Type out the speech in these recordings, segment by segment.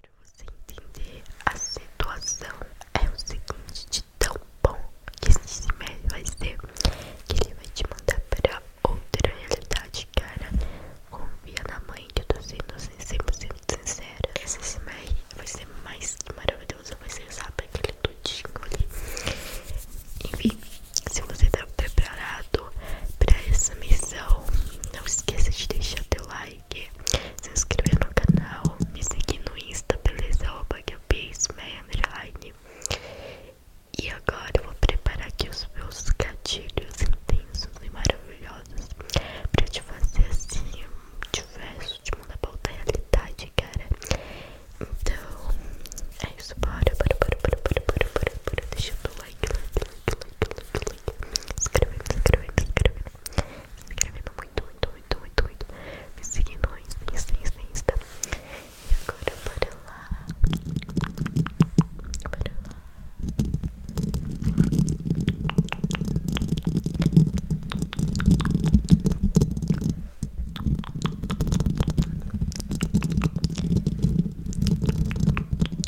Para você entender a situação, é o seguinte: de tão bom que esse médio vai ser, que ele vai te mandar para outra realidade, cara. Confia na mãe, que eu tô sendo 100% sincera. Esse CIMER vai ser mais que maravilhoso, vai ser, sabe, aquele tudinho ali. Enfim, se você tá preparado para essa missão. Não esqueça de deixar teu like, se inscrever no canal, me seguir no Insta, beleza? Arroba que eu underline. E agora vou preparar aqui os meus gatilhos intensos e maravilhosos para te fazer assim diverso, de mudar pra outra realidade, cara. Então, é isso, bora, bora, bora, bora, bora, bora, bora, bora. deixa eu like, like, like, like. Inscrevendo, inscrevendo, inscrevendo. Inscrevendo muito, muito, muito, muito, muito. Me seguindo no Insta, Insta, Insta. E agora bora lá. Bora lá. Bora lá.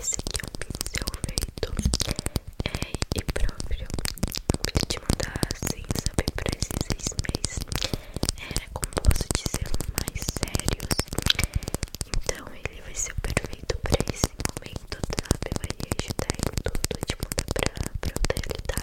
Esse aqui é o seu feito é, e próprio vou te mandar sem assim, saber por esses seis meses era como posso dizer mais sérios então ele vai ser perfeito para esse momento sabe vai ajudar em tudo te tipo, mudar pra, pra outra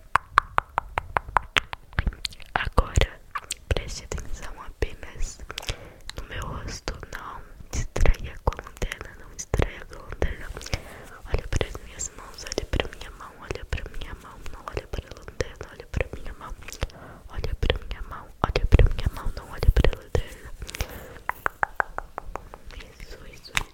Agora preste atenção apenas no meu rosto, não distraia com a lanterna, não distraia com a lanterna. Olha para as minhas mãos, olha para minha mão, olha para minha mão, não olha para a lanterna, olha para minha mão, olha para minha mão, olha para minha mão, não olha para a lanterna. Isso, isso, isso.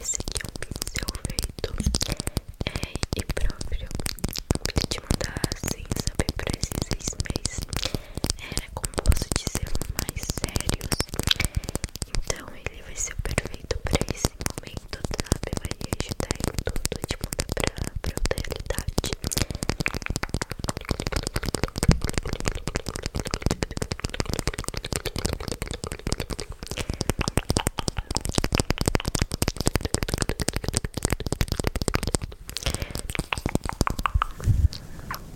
Esse aqui é o pincel feito é, e próprio. Eu queria te mandar sem assim, saber precisar esses seis era composto de selos mais sérios. Então ele vai ser o perfeito pra esse momento, sabe? Vai ajudar em tudo, tipo, pra, pra outra realidade.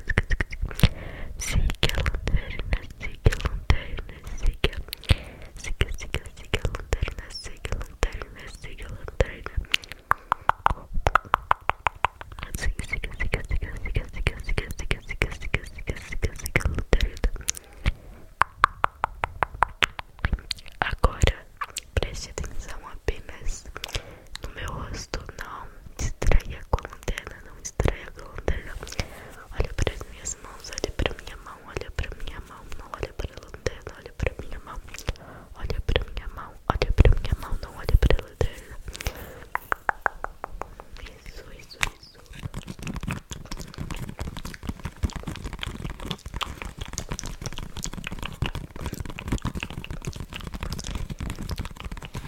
Siga a lanterna, siga a lanterna, siga. Siga, siga, siga a lanterna, siga a lanterna, siga a lanterna. Siga, siga, siga, siga, siga, siga, siga, siga, siga, siga, siga, siga, siga a lanterna. Agora preste atenção apenas no meu rosto. Não distraia a lanterna, não distraia a lanterna. Olha para as minhas mãos, olha para minha mão, olha para minha mão, não olha para a lanterna, olha para minha mão. Olha para minha mão, olha para minha mão, não olha para a lanterna. Isso, isso, isso.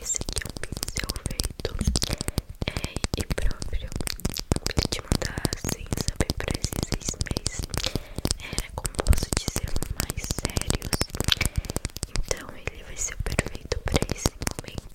Esse aqui é um pincel feito é, e próprio que te mandar sem saber pra esses seis meses é, como posso dizer mais sérios então ele vai ser o perfeito para esse momento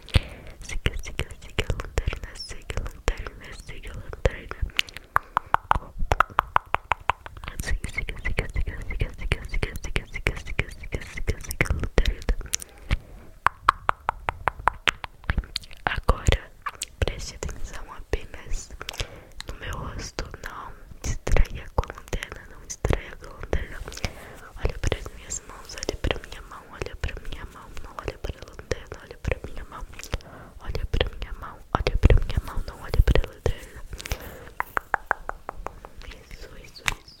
Siga, siga, siga a lanterna, siga a lanterna, siga a lanterna. Siga, siga, siga, siga, siga, siga, siga, siga, siga, siga, siga, siga, siga a lanterna. Agora, preste atenção apenas no meu rosto. Não distraia com a lanterna, não distraia com a lanterna. Olha para as minhas mãos, olha para minha mão olha pra minha mão, não olha pra lanterna, olha pra minha mão, olha pra minha mão, olha pra minha mão, não olha pra lanterna. Isso, isso, isso.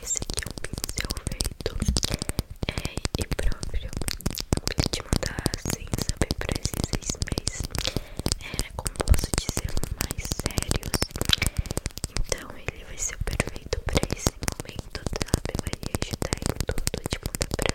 Esse aqui é um pincel feito é, e próprio. Eu queria te mandar sem assim, saber pra esses seis meses. Era é, como posso dizer, mais sérios. Então ele vai ser perfeito pra esse momento, sabe? Vai ajudar em tudo, te mandar pra,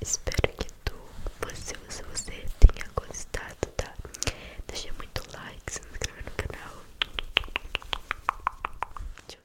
Espero que tu, você, você, você tenha gostado, tá? Deixa muito like, se inscreva no canal. Tchau.